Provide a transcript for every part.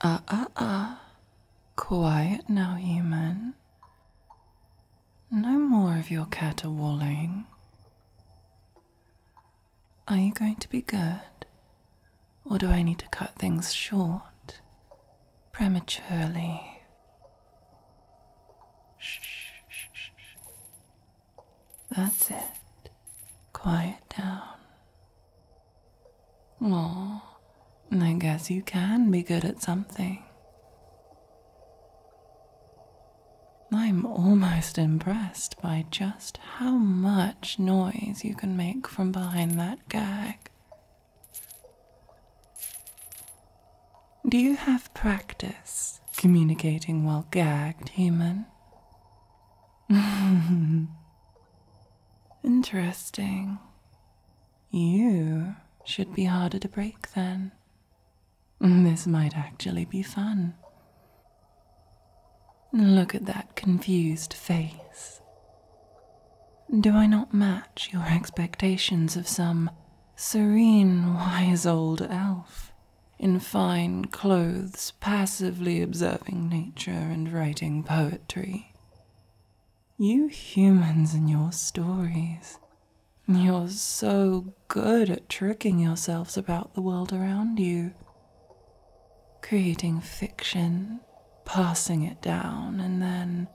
Ah, ah, ah. Quiet now, human. No more of your caterwauling. Are you going to be good? Or do I need to cut things short? Prematurely. Shh, shh, shh, shh. That's it. Quiet down. Aww, I guess you can be good at something. I'm almost impressed by just how much noise you can make from behind that gag. Do you have practice communicating while gagged, human? Interesting. You should be harder to break than. This might actually be fun. Look at that confused face. Do I not match your expectations of some serene, wise old elf in fine clothes passively observing nature and writing poetry. You humans and your stories. You're so good at tricking yourselves about the world around you. Creating fiction, passing it down, and then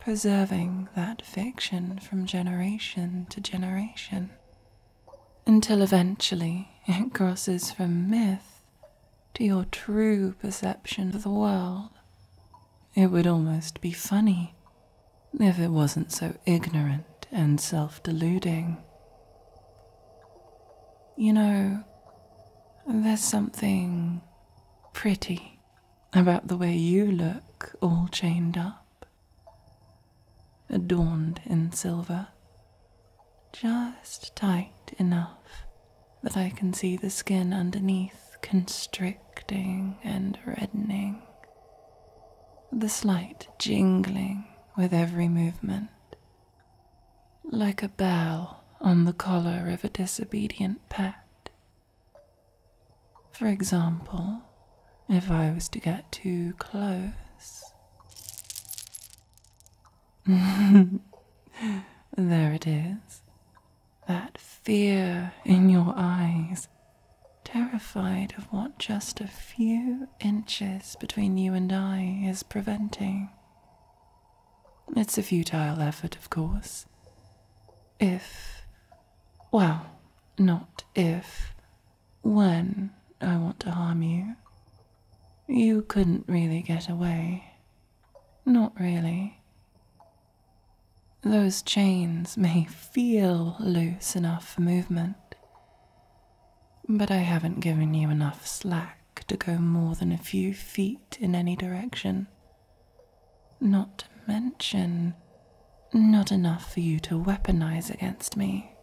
preserving that fiction from generation to generation. Until eventually it crosses from myth to your true perception of the world. It would almost be funny if it wasn't so ignorant and self deluding. You know, there's something pretty about the way you look all chained up, adorned in silver just tight enough that I can see the skin underneath constricting and reddening, the slight jingling with every movement, like a bell on the collar of a disobedient pet. For example, if I was to get too close, there it is. That fear in your eyes, terrified of what just a few inches between you and I is preventing. It's a futile effort, of course. If, well, not if, when I want to harm you. You couldn't really get away. Not really. Those chains may feel loose enough for movement, but I haven't given you enough slack to go more than a few feet in any direction. Not to mention, not enough for you to weaponize against me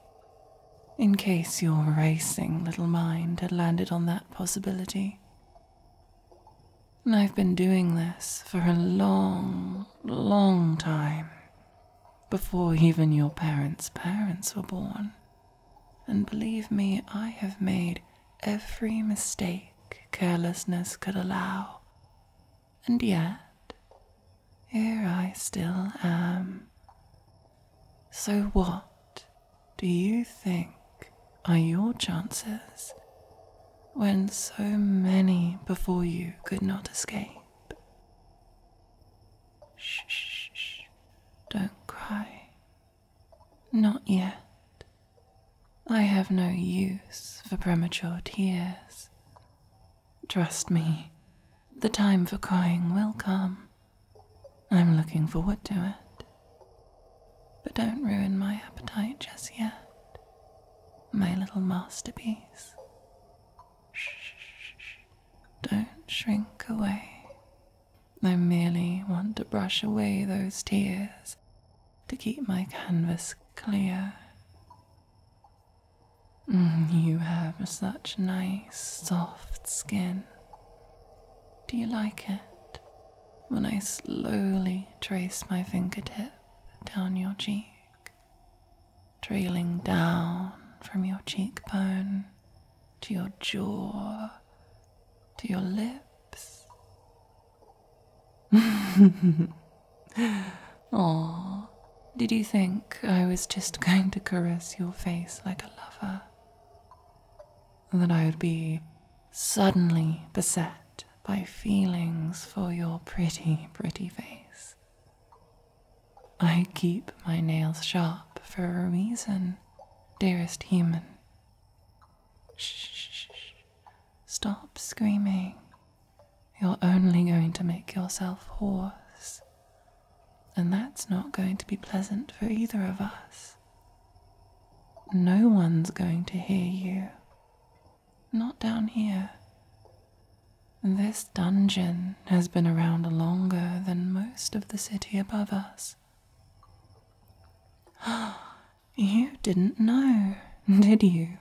in case your racing little mind had landed on that possibility. And I've been doing this for a long, long time, before even your parents' parents were born. And believe me, I have made every mistake carelessness could allow. And yet, here I still am. So, what do you think are your chances when so many before you could not escape? Shh, shh, shh. Don't cry. Not yet. I have no use for premature tears. Trust me, the time for crying will come. I'm looking forward to it. But don't ruin my appetite just yet. My little masterpiece. Shh, shh, shh. Don't shrink away. I merely want to brush away those tears to keep my canvas clear. Mm, you have such nice, soft skin. Do you like it when I slowly trace my fingertip down your cheek, trailing down from your cheekbone to your jaw, to your lips? Aww, did you think I was just going to caress your face like a lover? and That I would be suddenly beset by feelings for your pretty, pretty face? I keep my nails sharp for a reason, dearest human. Shh, stop screaming. You're only going to make yourself hoarse and that's not going to be pleasant for either of us. No one's going to hear you. Not down here. This dungeon has been around longer than most of the city above us. You didn't know, did you?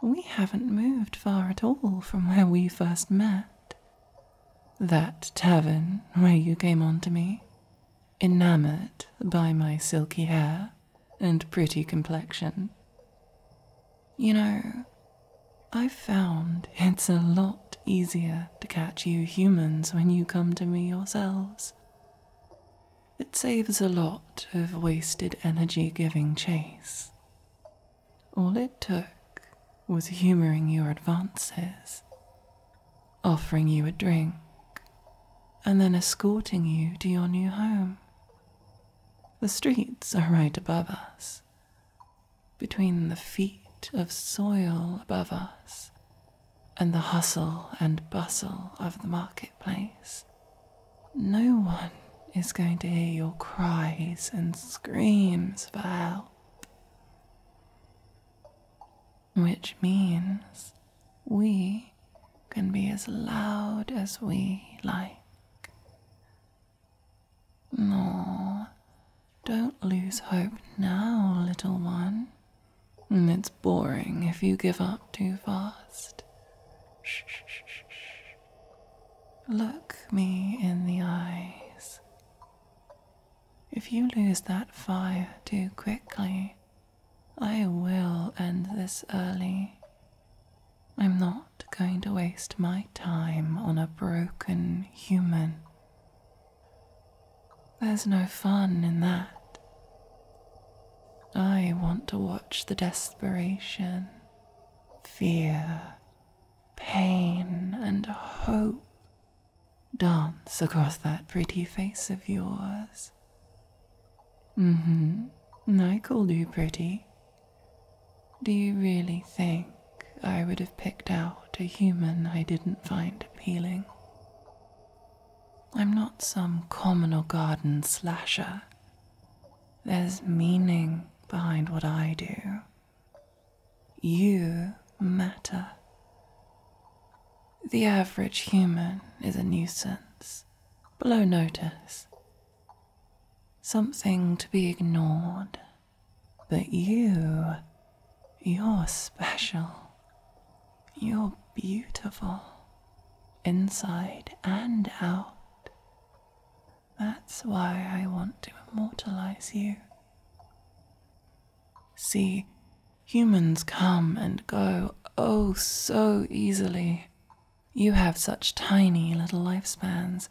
We haven't moved far at all from where we first met. That tavern where you came on to me, enamored by my silky hair and pretty complexion. You know, I've found it's a lot easier to catch you humans when you come to me yourselves. It saves a lot of wasted energy giving chase. All it took was humoring your advances, offering you a drink, and then escorting you to your new home. The streets are right above us, between the feet of soil above us and the hustle and bustle of the marketplace. No one is going to hear your cries and screams for help. Which means we can be as loud as we like. No, don't lose hope now, little one. It's boring if you give up too fast. Look me in the eyes. If you lose that fire too quickly, I will end this early. I'm not going to waste my time on a broken human. There's no fun in that. I want to watch the desperation, fear, pain and hope dance across that pretty face of yours. Mm hmm. I called you pretty. Do you really think I would have picked out a human I didn't find appealing? I'm not some communal garden slasher. There's meaning behind what I do. You matter. The average human is a nuisance, below notice, something to be ignored. But you, you're special. You're beautiful, inside and out. That's why I want to immortalize you. See, humans come and go oh so easily. You have such tiny little lifespans.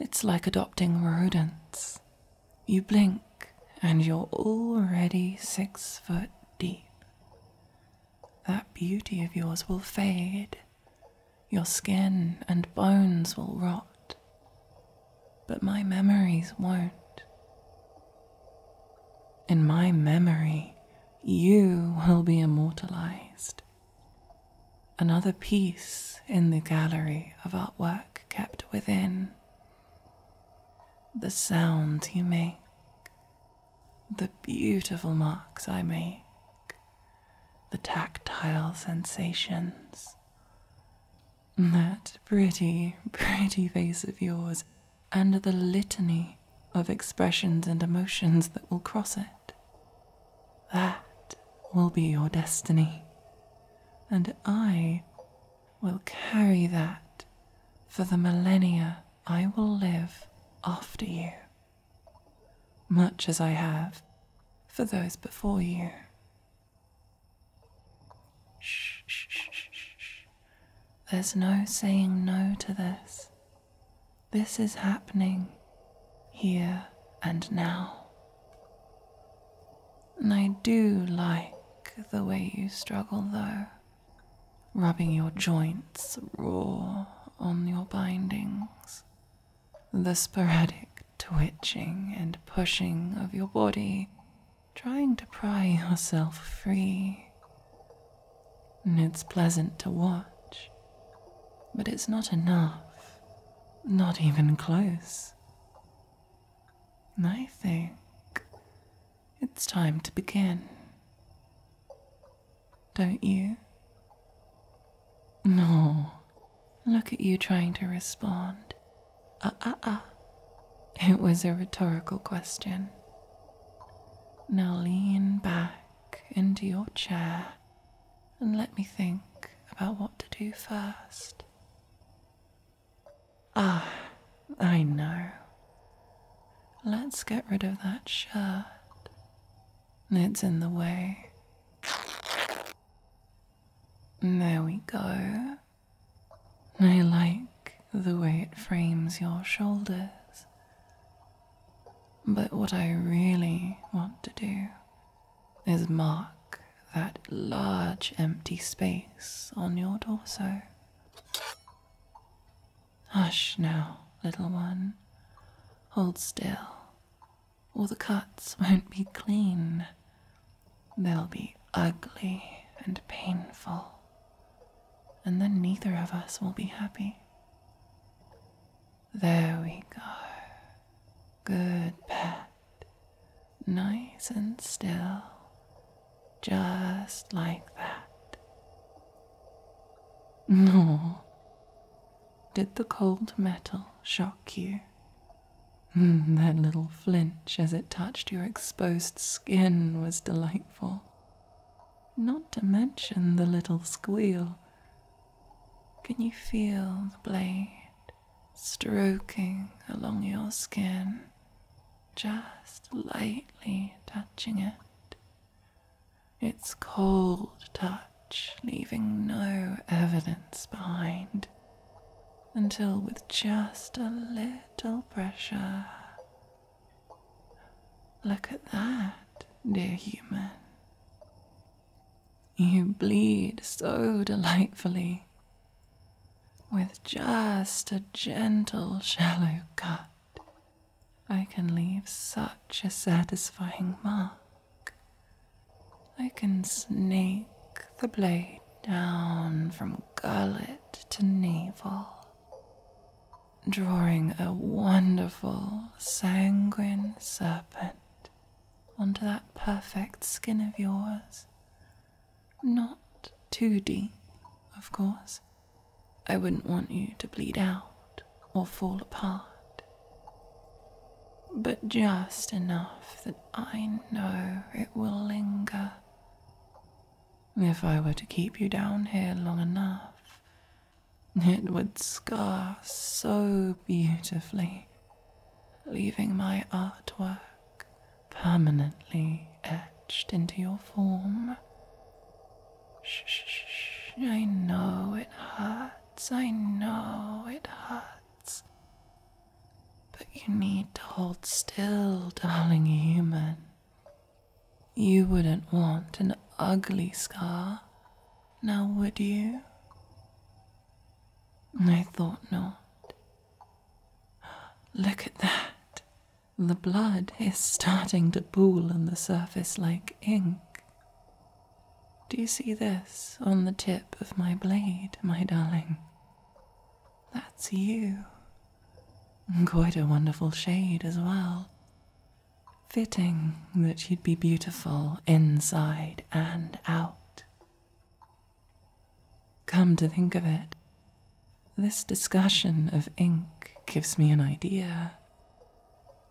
It's like adopting rodents. You blink and you're already six foot deep that beauty of yours will fade, your skin and bones will rot, but my memories won't. In my memory, you will be immortalized. Another piece in the gallery of artwork kept within. The sounds you make, the beautiful marks I make, the tactile sensations. That pretty, pretty face of yours, and the litany of expressions and emotions that will cross it. That will be your destiny, and I will carry that for the millennia I will live after you much as I have for those before you. Shh, shh, shh, shh, There's no saying no to this. This is happening here and now. And I do like the way you struggle, though rubbing your joints raw on your bindings. The sporadic twitching and pushing of your body, trying to pry yourself free. And it's pleasant to watch, but it's not enough, not even close. And I think it's time to begin don't you? No. Look at you trying to respond. Ah, uh, ah, uh, ah. Uh. It was a rhetorical question. Now lean back into your chair and let me think about what to do first. Ah, I know. Let's get rid of that shirt. It's in the way. There we go. I like the way it frames your shoulders. But what I really want to do is mark that large empty space on your torso. Hush now, little one. Hold still, or the cuts won't be clean. They'll be ugly and painful, and then neither of us will be happy. There we go. Good pet. Nice and still. Just like that. Nor Did the cold metal shock you? Hmm, that little flinch as it touched your exposed skin was delightful. Not to mention the little squeal. Can you feel the blade stroking along your skin, just lightly touching it its cold touch leaving no evidence behind until, with just a little pressure, look at that, dear human. You bleed so delightfully with just a gentle, shallow cut I can leave such a satisfying mark. I can snake the blade down from gullet to navel, drawing a wonderful sanguine serpent onto that perfect skin of yours. Not too deep, of course, I wouldn't want you to bleed out or fall apart, but just enough that I know it will linger. If I were to keep you down here long enough, it would scar so beautifully, leaving my artwork permanently etched into your form. Shh, shh, shh. I know it hurts, I know it hurts. But you need to hold still, darling human. You wouldn't want an ugly scar, now would you? I thought not. Look at that. The blood is starting to pool on the surface like ink. Do you see this on the tip of my blade, my darling? That's you. Quite a wonderful shade as well. Fitting that you'd be beautiful inside and out. Come to think of it, this discussion of ink gives me an idea.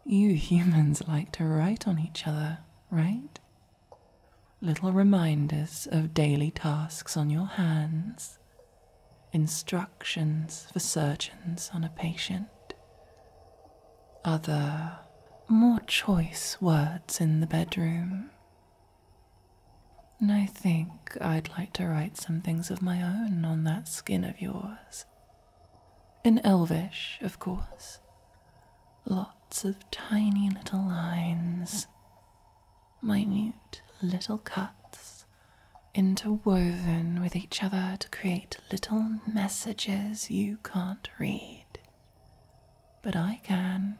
You humans like to write on each other, right? Little reminders of daily tasks on your hands, instructions for surgeons on a patient, other, more choice words in the bedroom and I think I'd like to write some things of my own on that skin of yours. In Elvish, of course. Lots of tiny little lines, minute little cuts, interwoven with each other to create little messages you can't read. But I can.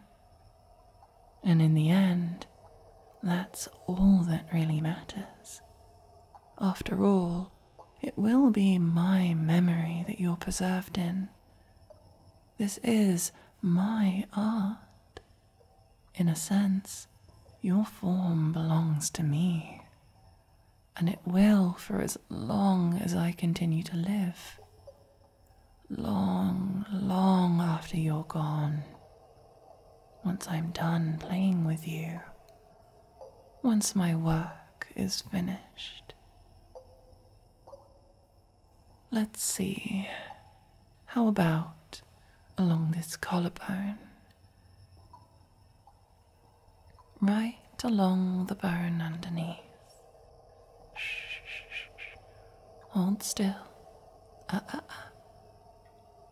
And in the end, that's all that really matters. After all, it will be my memory that you're preserved in. This is my art. In a sense, your form belongs to me, and it will for as long as I continue to live. Long, long after you're gone, once I'm done playing with you, once my work is finished. Let's see, how about along this collarbone? Right along the bone underneath. Shh, shh, shh. Hold still. Uh, uh, uh.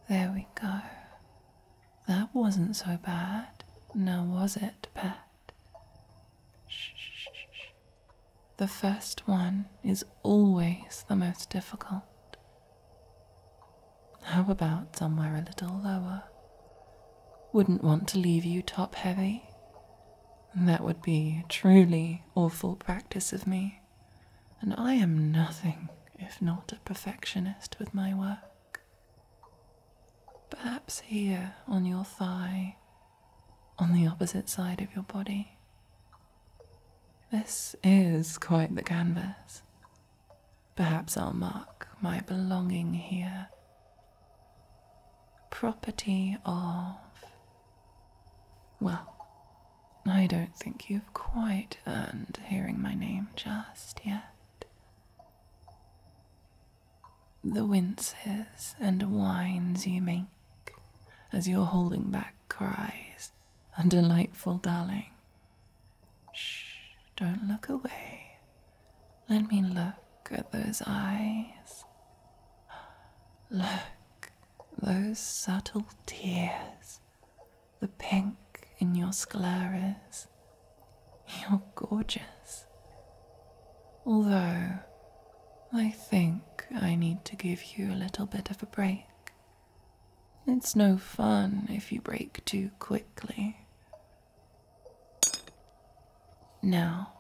There we go. That wasn't so bad, now was it, Pet? shh. The first one is always the most difficult. How about somewhere a little lower? Wouldn't want to leave you top heavy. That would be truly awful practice of me and I am nothing if not a perfectionist with my work. Perhaps here on your thigh, on the opposite side of your body. This is quite the canvas. Perhaps I'll mark my belonging here. Property of well, I don't think you've quite earned hearing my name just yet. The winces and whines you make as you're holding back cries and delightful darling. Shh, don't look away. Let me look at those eyes. Look those subtle tears, the pink in your scleras. You're gorgeous. Although, I think I need to give you a little bit of a break. It's no fun if you break too quickly. Now,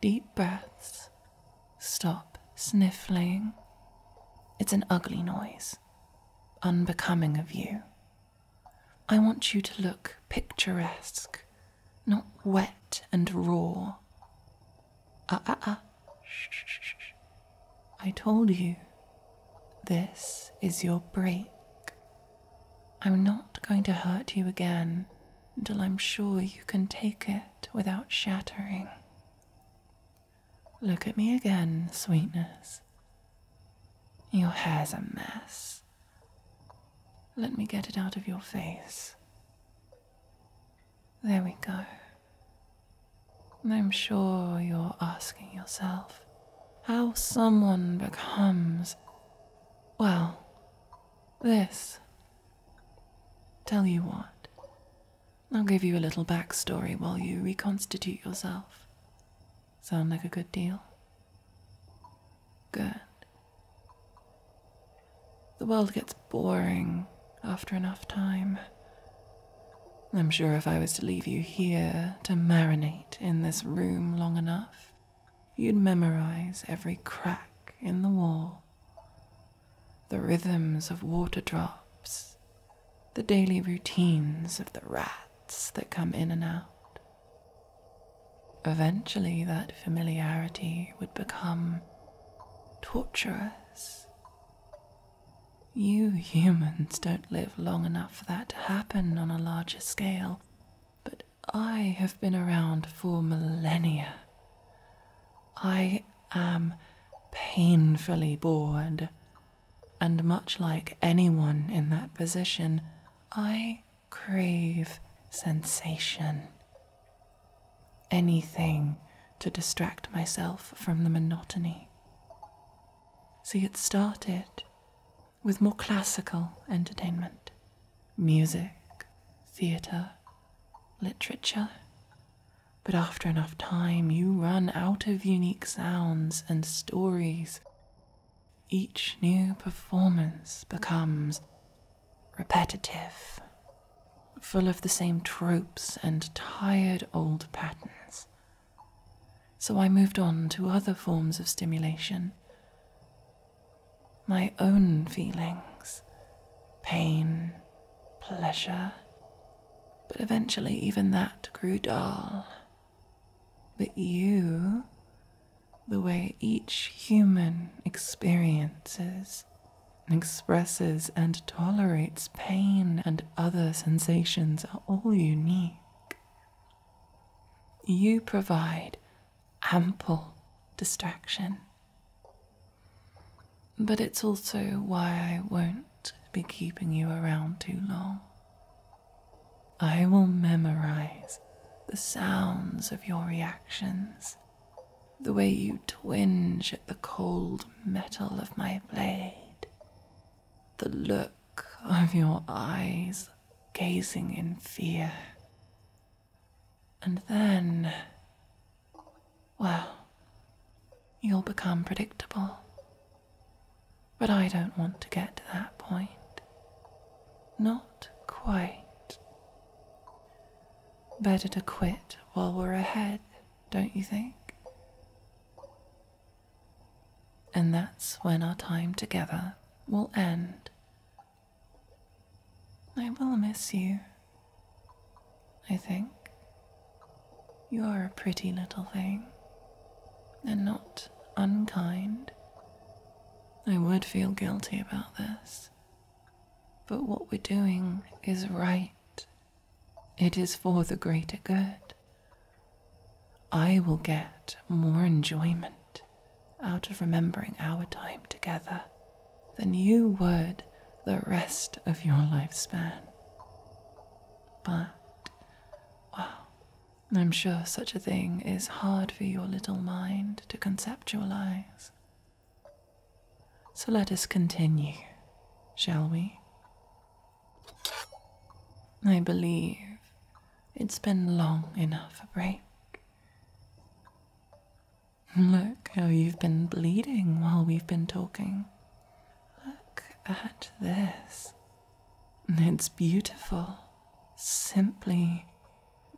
deep breaths Stop sniffling. It's an ugly noise, unbecoming of you. I want you to look picturesque, not wet and raw. Ah, ah, ah. Shh, shh, shh. I told you this is your break. I'm not going to hurt you again until I'm sure you can take it without shattering. Look at me again, sweetness. Your hair's a mess. Let me get it out of your face. There we go. I'm sure you're asking yourself how someone becomes, well, this. Tell you what, I'll give you a little backstory while you reconstitute yourself. Sound like a good deal? Good. The world gets boring after enough time. I'm sure if I was to leave you here to marinate in this room long enough, you'd memorize every crack in the wall the rhythms of water drops, the daily routines of the rats that come in and out. Eventually, that familiarity would become torturous. You humans don't live long enough for that to happen on a larger scale, but I have been around for millennia. I am painfully bored, and much like anyone in that position, I crave sensation. Anything to distract myself from the monotony. See, it started with more classical entertainment music, theatre, literature, but after enough time, you run out of unique sounds and stories. Each new performance becomes repetitive, full of the same tropes and tired old patterns. So I moved on to other forms of stimulation. My own feelings, pain, pleasure. But eventually, even that grew dull. But you, the way each human experiences, expresses, and tolerates pain and other sensations are all unique. You provide ample distraction but it's also why I won't be keeping you around too long. I will memorize the sounds of your reactions, the way you twinge at the cold metal of my blade, the look of your eyes gazing in fear, and then, well, you'll become predictable. But I don't want to get to that point. Not quite. Better to quit while we're ahead, don't you think? And that's when our time together will end. I will miss you. I think you're a pretty little thing and not unkind. I would feel guilty about this, but what we're doing is right. It is for the greater good. I will get more enjoyment out of remembering our time together then you would the rest of your lifespan. But, well, I'm sure such a thing is hard for your little mind to conceptualize. So let us continue, shall we? I believe it's been long enough a break. Look how you've been bleeding while we've been talking. Look at this. It's beautiful. Simply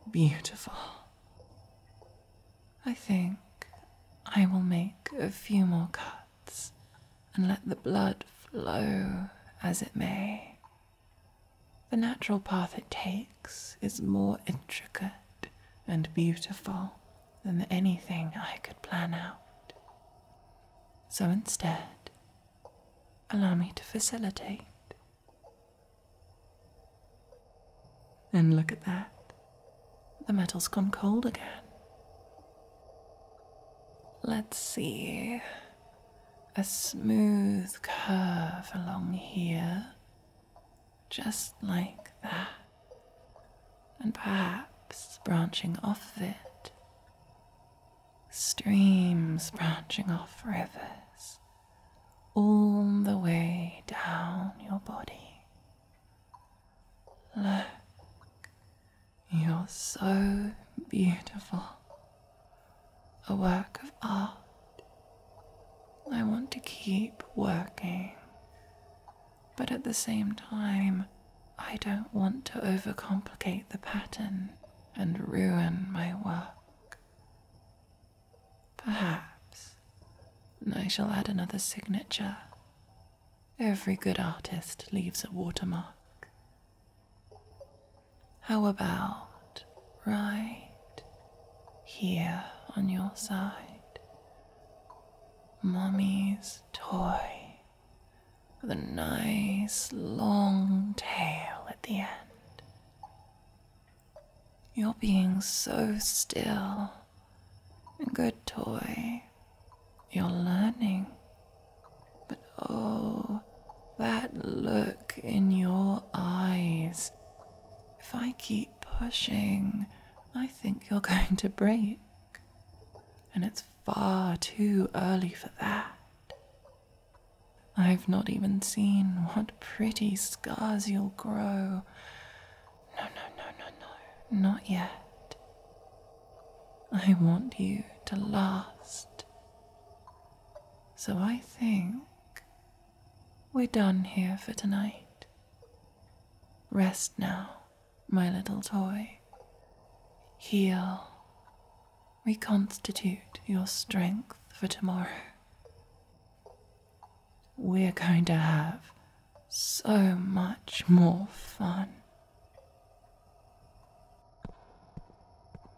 beautiful. I think I will make a few more cuts and let the blood flow as it may. The natural path it takes is more intricate and beautiful than anything I could plan out. So instead, allow me to facilitate. And look at that. The metal's gone cold again. Let's see. A smooth curve along here, just like that, and perhaps branching off of it, streams branching off rivers all the way down your body. Look, you're so beautiful a work of art. I want to keep working, but at the same time, I don't want to overcomplicate the pattern and ruin my work. Perhaps I shall add another signature. Every good artist leaves a watermark. How about right here on your side? Mommy's toy with a nice long tail at the end. You're being so still. Good toy. You're learning. But oh, that look in your eyes if I keep pushing, I think you're going to break. And it's far too early for that. I've not even seen what pretty scars you'll grow. No, no, no, no, no, not yet. I want you to last. So I think we're done here for tonight. Rest now, my little toy. Heal. Reconstitute your strength for tomorrow. We're going to have so much more fun.